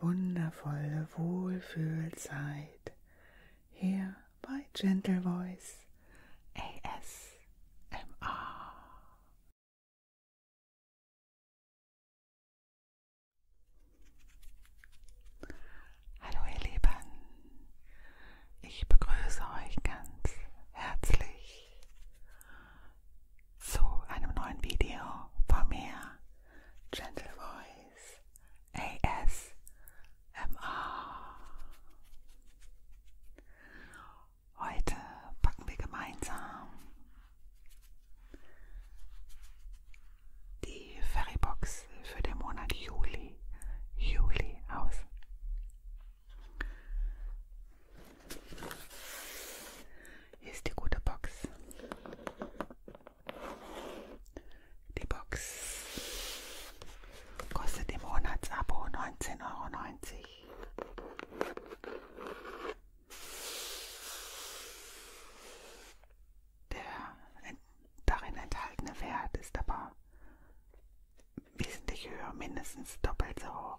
wundervolle Wohlfühlzeit hier bei Gentle Voice ASMR. Hallo ihr Lieben, ich begrüße euch ganz herzlich zu einem neuen Video von mir, Gentle Voice ASMR. Heute packen wir gemeinsam die Ferrybox für den Monat Juli, Juli aus. Hier ist die gute Box. Die Box kostet im Monatsabo 19,90 Euro. Der darin enthaltene Wert ist aber wesentlich höher, mindestens doppelt so hoch.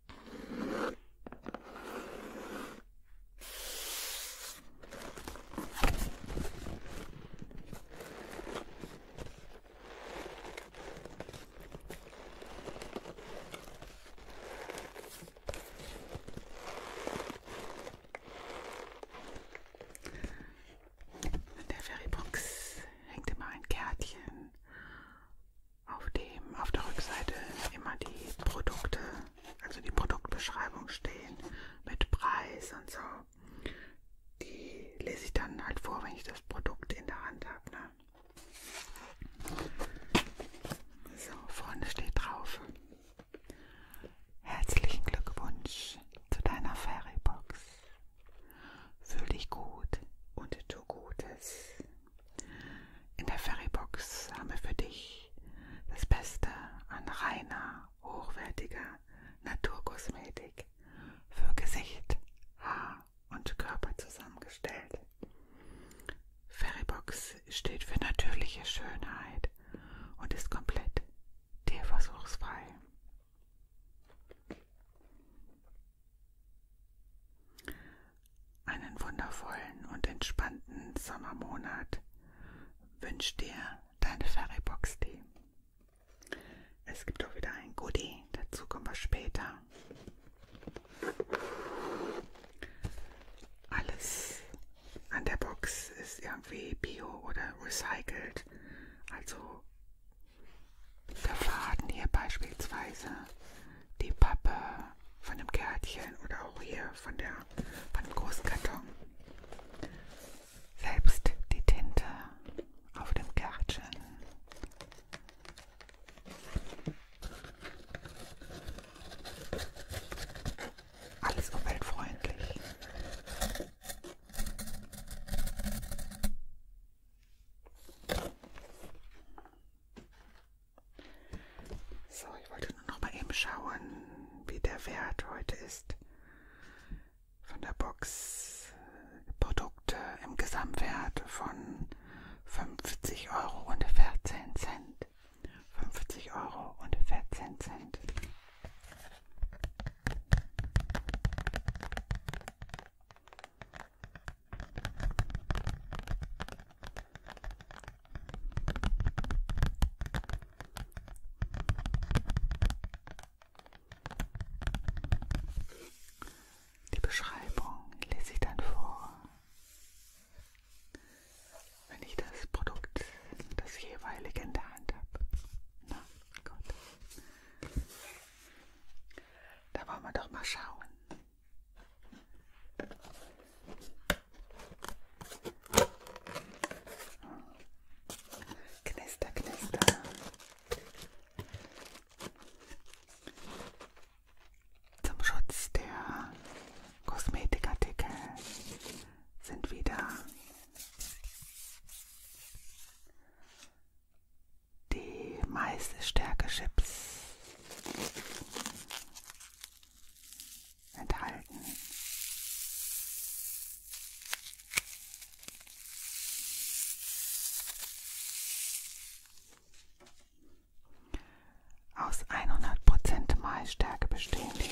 In der Ferrybox hängt immer ein Kärtchen auf dem auf der Rückseite immer die Produkte, also die Produktbeschreibung stehen mit Preis und so. Die lese ich dann halt vor, wenn ich das Produkt in der Hand habe. Ne? So, vorne steht drauf. Herzlichen Glückwunsch zu deiner Fairybox. Fühl dich gut und tu Gutes. In der Ferrybox haben wir für dich das Beste an reiner, hochwertiger Naturkosmetik für Gesicht, Haar und Körper zusammengestellt. Ferrybox steht für natürliche Schönheit und ist komplett tierversuchsfrei. Einen wundervollen und entspannten Sommermonat wünscht dir deine Fairybox Tee. Es gibt auch wieder ein Goodie, dazu kommen wir später. Alles an der Box ist irgendwie bio oder recycelt, also der Faden hier beispielsweise, die Pappe von dem Kärtchen oder auch hier von, der, von dem Großkarton. Selbst die Tinte auf dem Kärtchen. Alles umweltfreundlich. So, ich wollte nur noch mal eben schauen, wie der Wert heute ist. Von der Box Produkte im Gesamtwert von 50 Euro und 14 Cent. 50 Euro und 14 Cent. Die Beschreibung lese ich dann vor. Wenn ich das Produkt, das jeweilige in der Hand habe. Na gut. Da wollen wir doch mal schauen. Knister, knister. Zum Schutz der Kosmetikartikel sind wieder die Maisstärke Chips enthalten. Aus 100% Maisstärke bestehen die.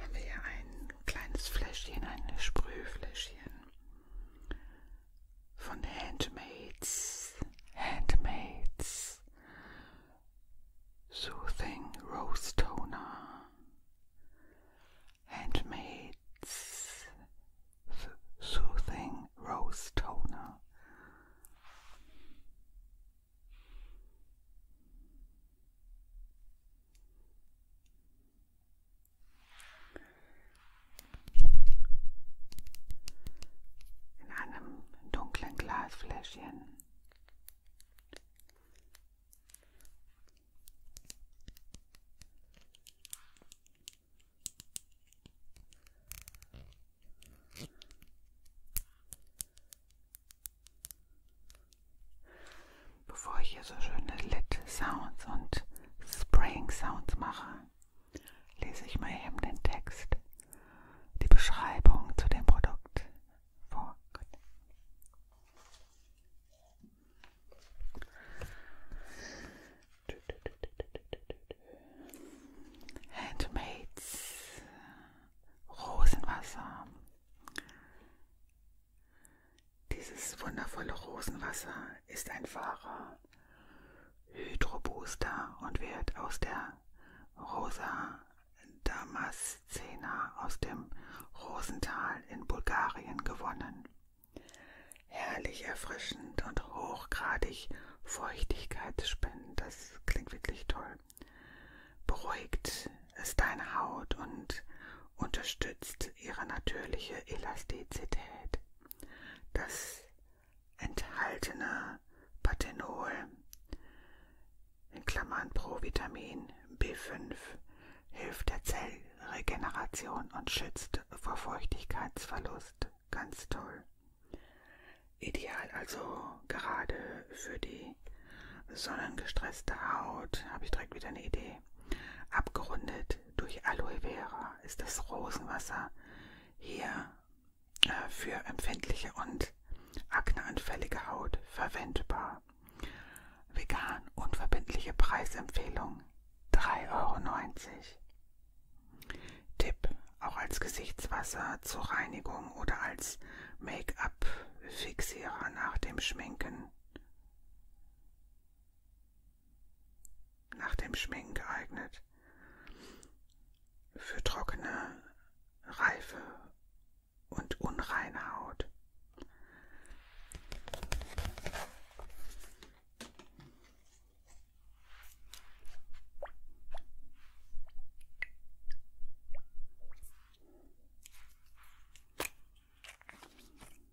Haben wir hier ein kleines Fläschchen, ein Sprühfläschchen. von handmaids, handmaids, soothing rose toner, handmaids, soothing rose toner. in einem dunklen Glasfläschchen. Bevor ich hier so schöne Lit Sounds und Spraying Sounds mache, lese ich mal eben den Text, die Beschreibung zu dem Produkt vor. Gut. Handmaids Rosenwasser dieses wundervolle Rosenwasser ist ein wahrer Hydrobooster und wird aus der Rosa Damascena aus dem Rosental in Bulgarien gewonnen. Herrlich erfrischend und hochgradig feuchtigkeitsspendend, das klingt wirklich toll. Beruhigt es deine Haut und unterstützt ihre natürliche Elastizität. Das enthaltene Pathenol in Klammern Provitamin B5 hilft der Zellregeneration und schützt vor Feuchtigkeitsverlust. Ganz toll. Ideal also gerade für die sonnengestresste Haut. Habe ich direkt wieder eine Idee. Abgerundet durch Aloe Vera ist das Rosenwasser hier äh, für empfindliche und akneanfällige Haut verwendbar. Vegan unverbindliche Preisempfehlung 3,90 Euro. Tipp: Auch als Gesichtswasser zur Reinigung oder als Make-up-Fixierer nach dem Schminken nach dem Schminken geeignet. Für trockene, reife und unreine Haut.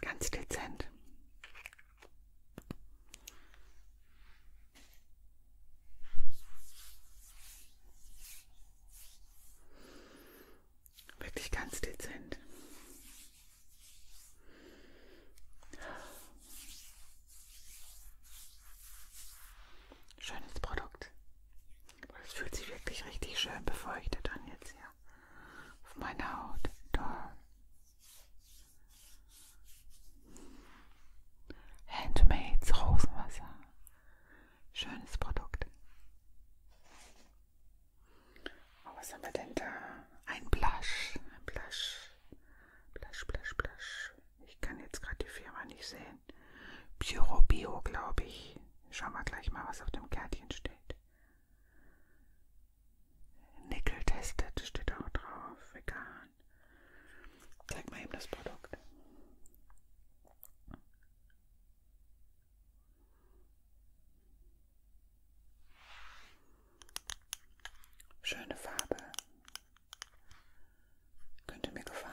Ganz dezent. Wirklich ganz dezent. Schönes Produkt. Es fühlt sich wirklich richtig schön befeuchtet an jetzt hier auf meine Haut. Da. Handmades Rosenwasser. Schönes Produkt. Oh, was haben wir denn da? Ein Blush. Ein Blush. Blush, Blush, Blush. Ich kann jetzt gerade die Firma nicht sehen. Pyro Bio, glaube ich. Schau mal gleich mal, was auf dem Kärtchen steht. Nickel testet steht auch drauf, vegan. Zeig mal eben das Produkt. Schöne Farbe. Könnte mir gefallen.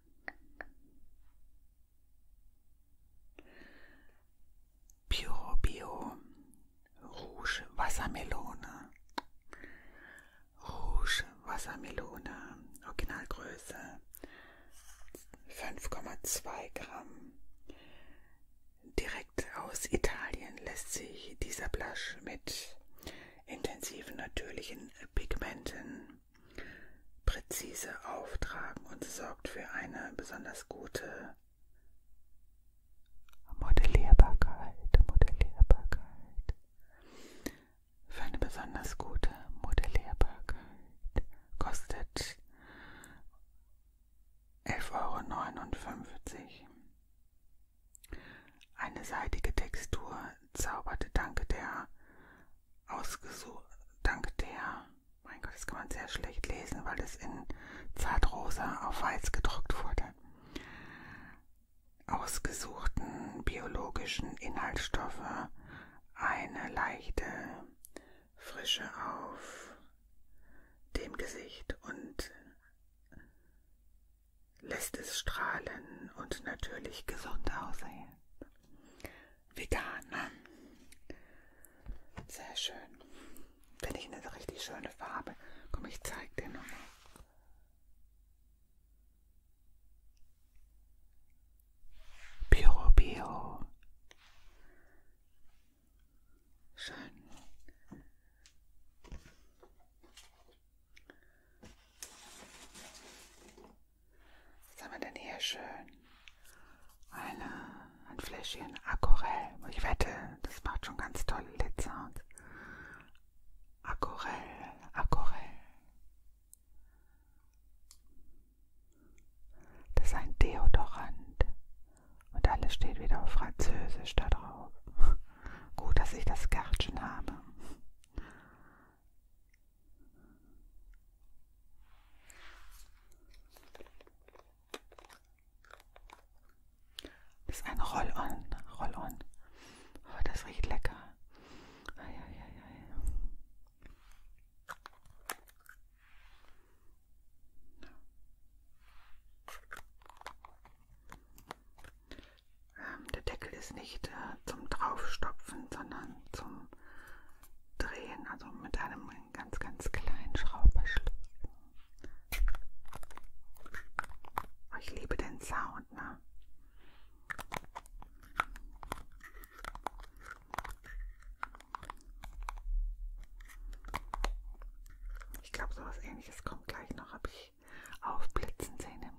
Pure Bio Rouge Wassermelone. Rouge Wassermelone, Originalgröße 5,2 Gramm. Direkt aus Italien lässt sich dieser Blush mit intensiven natürlichen Pigmenten präzise auftragen und sorgt für eine besonders gute Modellierbarkeit, Modellierbarkeit, für eine besonders gute Modellierbarkeit kostet 11,59 Euro. Eine seidige Textur zauberte dank der ausgesucht, dank der, mein Gott, das kann man sehr schlecht lesen, weil es in zartrosa auf weiß gedruckt wurde, ausgesuchten biologischen Inhaltsstoffe eine leichte Frische auf dem Gesicht und lässt es strahlen und natürlich gesund aussehen. Vegan. Sehr schön. Finde ich eine richtig schöne Farbe. Komm, ich zeig dir nochmal. Piro Bio. Schön. Was haben wir denn hier schön? Eine, ein Fläschchen Aquarell. Oh, ich wette, das macht schon ganz tolle Lid-Sounds. Aquarell, Aquarell. Das ist ein Deodorant. Und alles steht wieder auf Französisch da drauf. Gut, dass ich das Gärtchen habe. Das ist ein Roll-On. Roll-On. Oh, das riecht lecker. Ei, ei, ei, der Deckel ist nicht äh, zum Draufstopfen, sondern zum Drehen, also mit einem ganz, ganz kleinen Schrauberschluss. Oh, ich liebe den Sound, ne? Ich glaube, sowas ähnliches kommt gleich noch, habe ich aufblitzen sehen im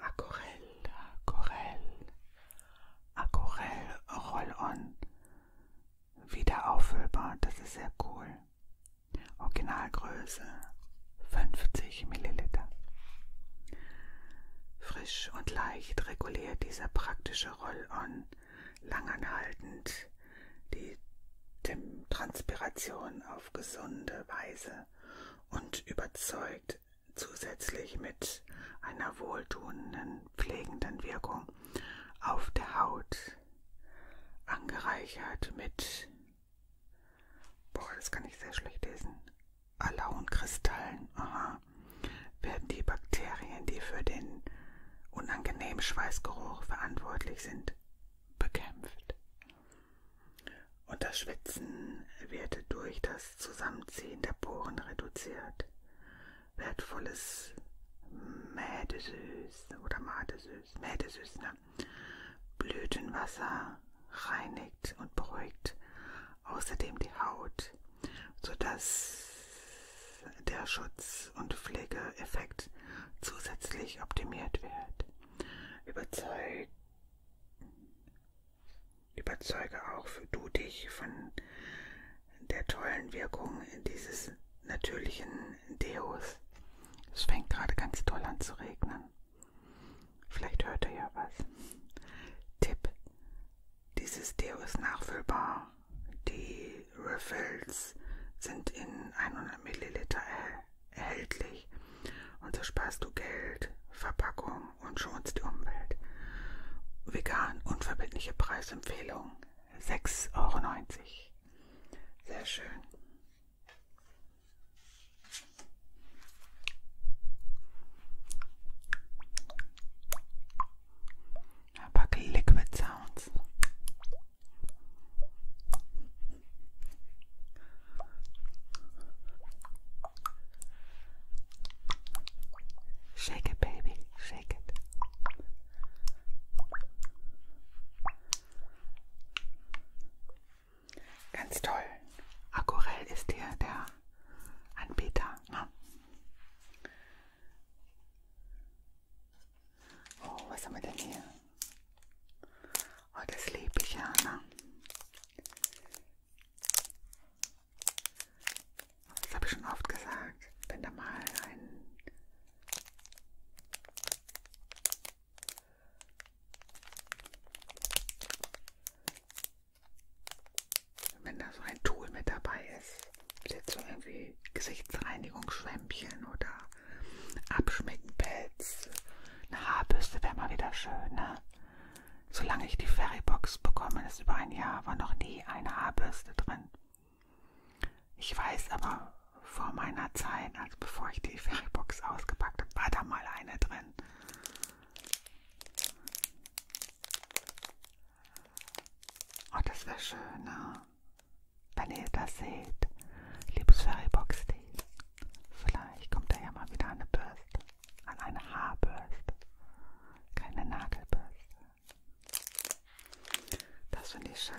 Aquarell, Aquarell, Aquarell Roll-On. Wieder auffüllbar, das ist sehr cool. Originalgröße 50 Milliliter. Frisch und leicht reguliert dieser praktische Roll-On langanhaltend die Transpiration auf gesunde Weise und überzeugt zusätzlich mit einer wohltuenden, pflegenden Wirkung auf der Haut, angereichert mit, boah, das kann ich sehr schlecht lesen, Alaun-Kristallen, werden die Bakterien, die für den unangenehmen Schweißgeruch verantwortlich sind, bekämpft. Und das Schwitzen wird durch das Zusammenziehen der Poren reduziert. Wertvolles Mädesüß oder Madesüß, Mädesüß, ne? Blütenwasser reinigt und beruhigt außerdem die Haut, sodass der Schutz- und Pflegeeffekt zusätzlich optimiert wird. Überzeug Überzeuge auch du dich von der tollen Wirkung dieses natürlichen Deos. Es fängt gerade ganz toll an zu regnen. Vielleicht hört ihr ja was. Tipp. Dieses Deo ist nachfüllbar die Refills sind in 100 Milliliter erhältlich und so sparst du Geld, Verpackung und schonst die Umwelt. Vegan unverbindliche Preisempfehlung 6,90 Euro. Sehr schön. Ein paar Liquid Sounds. Shake it, baby, shake it. Ganz toll. Aquarell ist hier der Anbieter. Ne? Oh, was haben wir denn hier? Oh, das liebe ich ja, ne? Das habe ich schon oft gesagt. Wenn da mal ein wenn da so ein Tool mit dabei ist, jetzt so irgendwie Gesichtsreinigungsschwämmchen oder Abschminkenpads. Eine Haarbürste wäre mal wieder schön, ne? Solange ich die Ferrybox bekommen ist über ein Jahr, war noch nie eine Haarbürste drin. Ich weiß aber vor meiner Zeit, also bevor ich die Ferrybox ausgepackt habe, war da mal eine drin. Oh, das wäre schön, ne? Wenn ihr das seht, liebes Fairybox Team, vielleicht kommt da ja mal wieder eine Bürste, an eine Haarbürste, keine Nagelbürste. Das finde ich schön.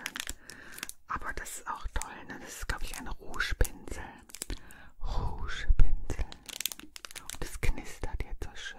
Aber das ist auch toll, ne? Das ist, glaube ich, ein Rougepinsel. Rougepinsel. Und es knistert jetzt so schön.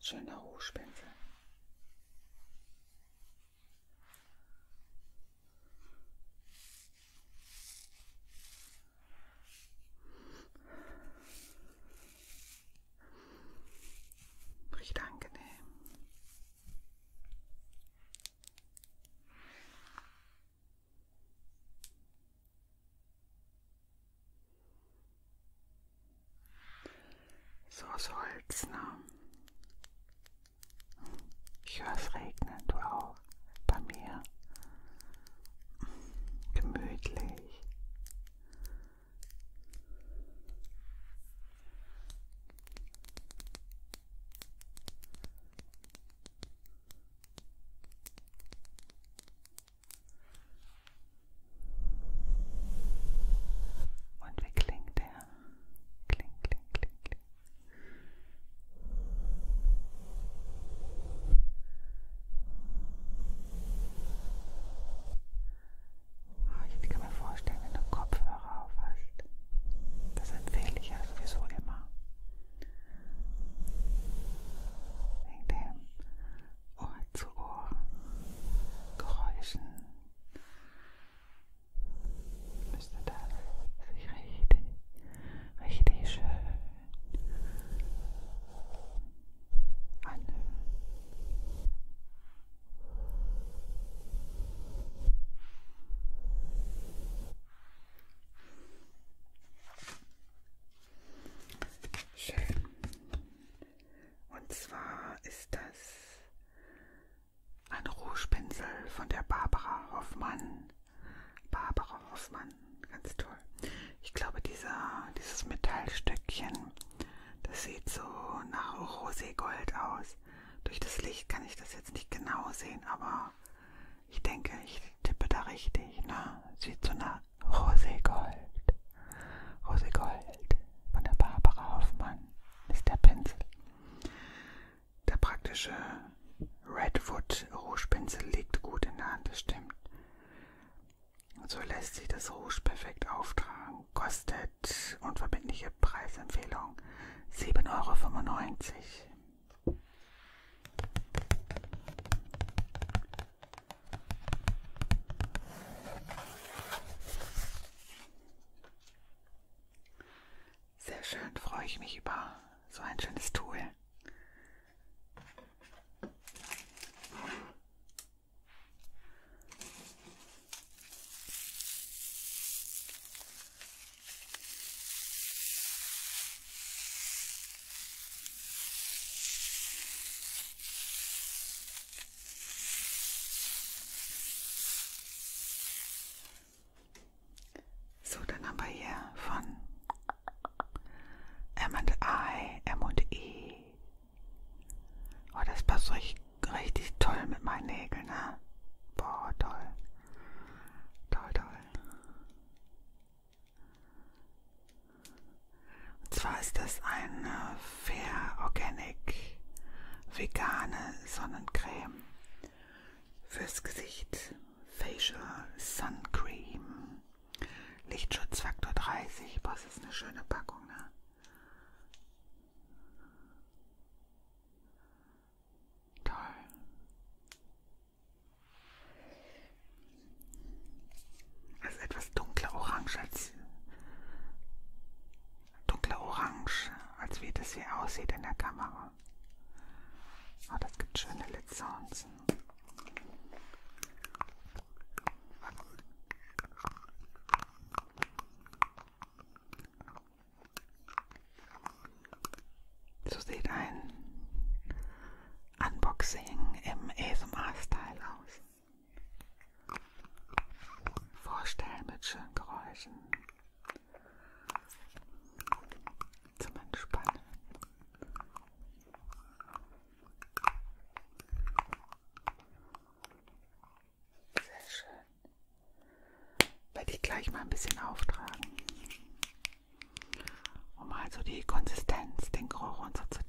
Schöner Rouge-Pinsel. Riecht angenehm. So soll's, ne? Ich höre es regnen, du auch, bei mir. Gemütlich. Und wie klingt der? Kling, kling, kling, kling. Oh, ich kann mir vorstellen, wenn du Kopfhörer auf hast. Das empfehle ich ja sowieso immer wegen dem Ohr-zu-Ohr-Geräuschen müsste das sich richtig, richtig schön anhören. Schön. Und zwar ist das ein Rougepinsel von der Barbara Hoffmann. Barbara Hoffmann, ganz toll. Ich glaube, dieser, dieses Metallstöckchen, das sieht so nach Roségold aus. Durch das Licht kann ich das jetzt nicht genau sehen, aber ich denke, ich tippe da richtig. Ne? Sieht so nach Roségold. Roségold von der Barbara Hoffmann ist der Pinsel. Der praktische Redwood Rouge-Pinsel liegt gut in der Hand, das stimmt. So lässt sich das Rouge perfekt auftragen. Kostet unverbindliche Preisempfehlung 7,95 Euro. Sehr schön, freue ich mich über so ein schönes Tool. So, dann haben wir hier von M&I, M&E. Oh, das passt richtig, richtig toll mit meinen Nägeln, ne? Boah, toll. Toll, toll. Und zwar ist das eine Fair Organic vegane Sonnencreme fürs Gesicht, Facial Suncream, Lichtschutzfaktor 30. Was ist eine schöne Packung, ne? Toll. Es ist etwas dunkler orange als dunkler orange, als wie das hier aussieht in der Kamera. Oh, das gibt schöne Lid Sounds. So sieht ein Unboxing im e ASMR-Style aus. Vorstellen mit schönen Geräuschen. Zum Entspannen. Sehr schön. Werde ich gleich mal ein bisschen auftragen um mal so die Konsistenz, den Geruch und so zu testen.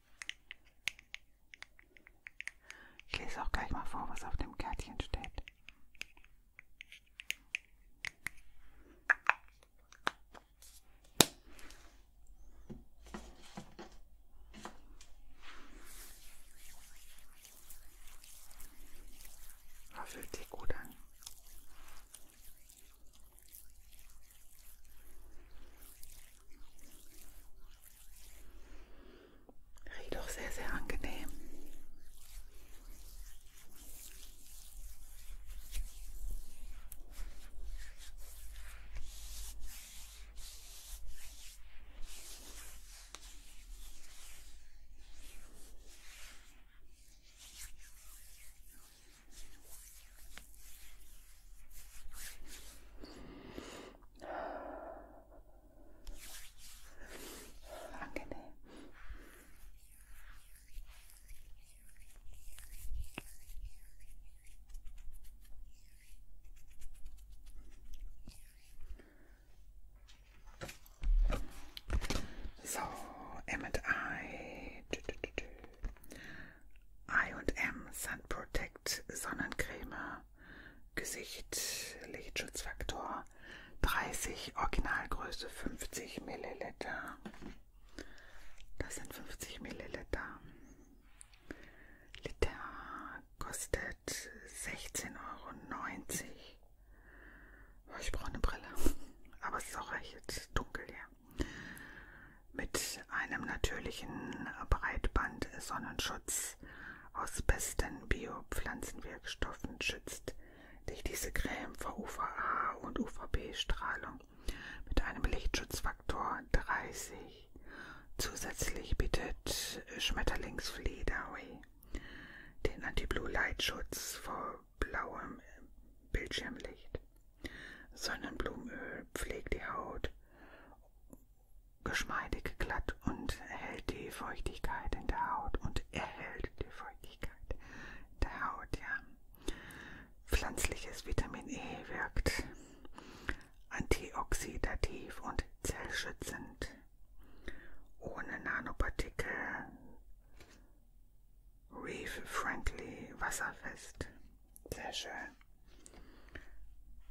Ich lese auch gleich mal vor, was auf dem Kärtchen steht. Das fühlt sich gut an. Riecht auch sehr, sehr angenehm. Angenehm. So, M and I. I und M Sun Protect Sonnencreme Gesicht, Lichtschutzfaktor 30, Originalgröße 50 Milliliter. Das sind 50 Milliliter. Liter kostet 16,90 Euro. Oh, ich brauche eine Brille, aber es ist auch recht dunkel hier. Mit einem natürlichen Breitband-Sonnenschutz Schutz aus besten Biopflanzenwirkstoffen schützt dich diese Creme vor UVA und UVB-Strahlung mit einem Lichtschutzfaktor 30. Zusätzlich bietet Schmetterlingsfliederway den Anti-Blue-Light-Schutz vor blauem Bildschirmlicht. Sonnenblumenöl pflegt die Haut geschmeidig glatt und hält die Feuchtigkeit in der Haut und erhält die Feuchtigkeit der Haut, ja. Pflanzliches Vitamin E wirkt antioxidativ und zellschützend. Ohne Nanopartikel, reef-friendly, wasserfest. Sehr schön.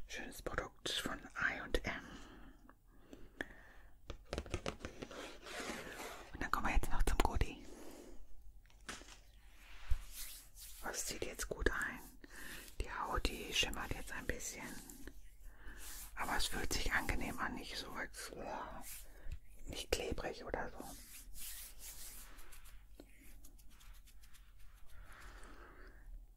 Schönes Produkt von IM. Und dann kommen wir jetzt noch zum Goodie. Was zieht jetzt gut ein? Die Haut, die schimmert jetzt ein bisschen. Aber es fühlt sich angenehm an, nicht so als ja, oh, nicht klebrig oder so.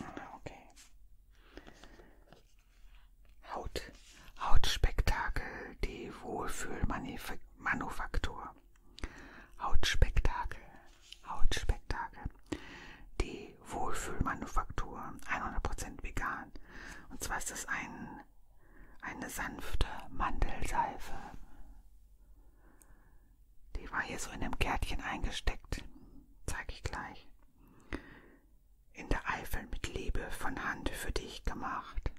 Okay. Haut. Hautspektakel, die Wohlfühlmanufaktur. Hautspektakel. Hautspektakel. Die Wohlfühlmanufaktur. 100% vegan. Und zwar ist das ein, eine sanfte Mandelseife. Die war hier so in einem Kärtchen eingesteckt. Zeig ich gleich. In der Eifel mit Liebe von Hand für dich gemacht.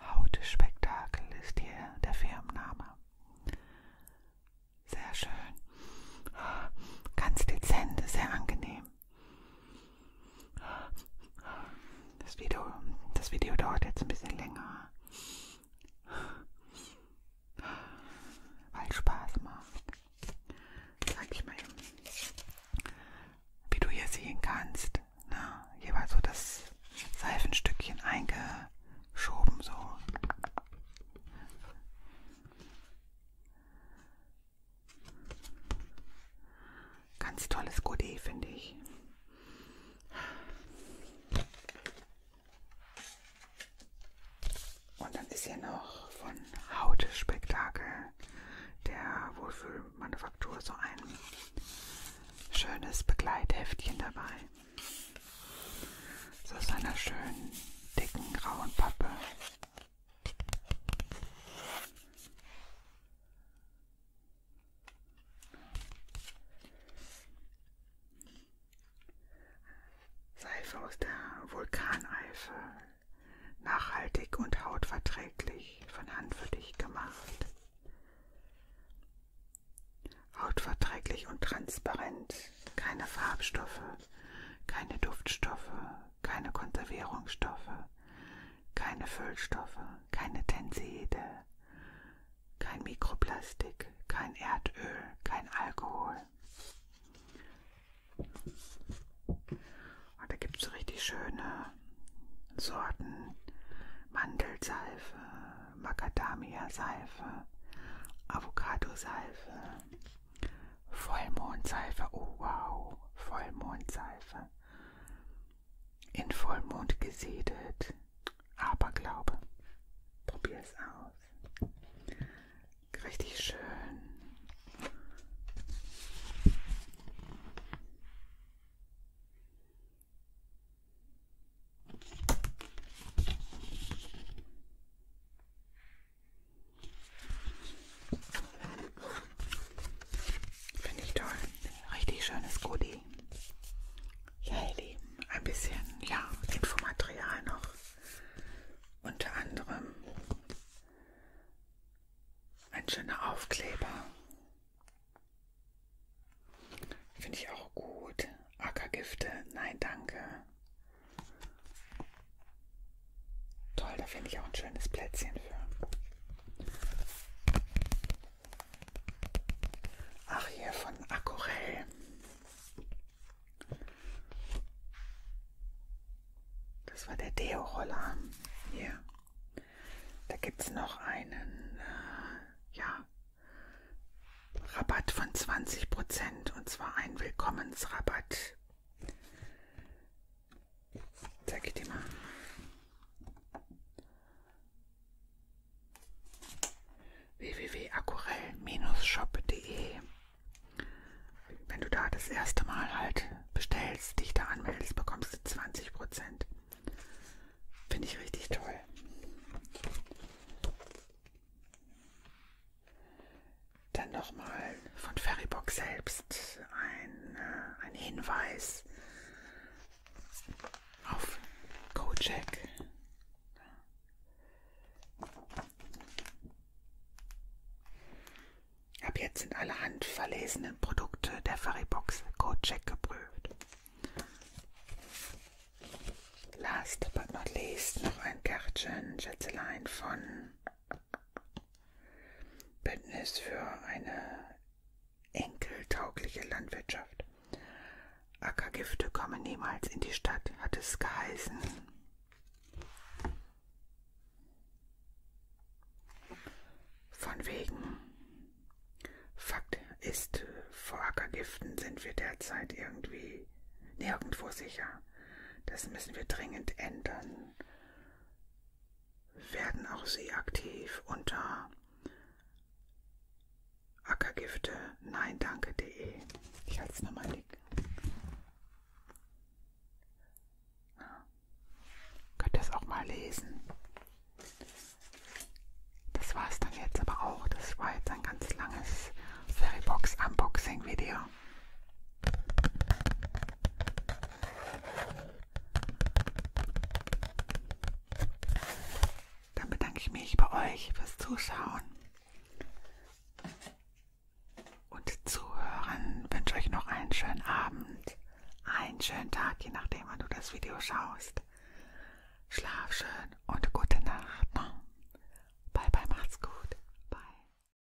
Hautspektakel ist hier der Firmenname. Sehr schön. Ganz dezent, sehr angenehm. Das Video, das Video dauert jetzt ein bisschen länger, weil Spaß macht. Sag ich mal eben, wie du hier sehen kannst. Na, ne? hier war so das Seifenstückchen eingeschoben so. Ganz tolles Goodie, finde ich. Und dann ist hier noch von Hautspektakel der Wohlfühlmanufaktur so ein schönes Begleitheftchen dabei. So aus einer schönen, dicken, grauen Pappe. Seife aus der Vulkaneifel. Nachhaltig und hautverträglich von Hand für dich gemacht. Hautverträglich und transparent. Keine Farbstoffe, keine Duftstoffe, keine Konservierungsstoffe, keine Füllstoffe, keine Tenside, kein Mikroplastik, kein Erdöl, kein Alkohol. Und da gibt es so richtig schöne Sorten. Mandelseife, Macadamia-Seife, Avocadoseife, Vollmondseife, oh wow, Vollmondseife. In Vollmond gesiedet. Aberglaube. Probier es aus. Richtig schön. Finde ich toll. Richtig schönes Goodie. Ja, ihr Lieben, ein bisschen ja, Infomaterial noch. Unter anderem ein schöner Aufkleber. Finde ich auch gut. Ackergifte, nein, danke. Toll, da finde ich auch ein schönes Plätzchen für. Ach, hier von Aquarell. Das war der Deo-Roller. Hier. Da gibt es noch einen äh, ja, Rabatt von 20% und zwar ein Willkommensrabatt. Zeig ich dir mal. www.aquarell-shop.de Wenn du da das erste Mal halt bestellst, dich da anmeldest, bekommst du 20%. Finde ich richtig toll. Dann nochmal von Ferrybock selbst ein, äh, ein Hinweis auf Kojak. Ab jetzt sind alle handverlesenen Produkte der Ferrybox Kojak geprüft. Last but not least noch ein Kärtchen, Schätzelein von Betten ist für eine enkeltaugliche Landwirtschaft. Ackergifte kommen niemals in die Stadt, hat es geheißen. Von wegen. Fakt ist, vor Ackergiften sind wir derzeit irgendwie nirgendwo sicher. Das müssen wir dringend ändern werden auch sie aktiv unter Ackergifte nein danke.de. Ich halte es nochmal dick. Ja. Könnt ihr es auch mal lesen? Das war es dann jetzt aber auch. Das war jetzt ein ganz langes Fairybox Unboxing Video. Wasser. Dann bedanke ich mich bei euch fürs Zuschauen und Zuhören. Ich wünsche euch noch einen schönen Abend, einen schönen Tag, je nachdem, wann du das Video schaust. Schlaf schön und gute Nacht. Bye bye, macht's gut. Bye.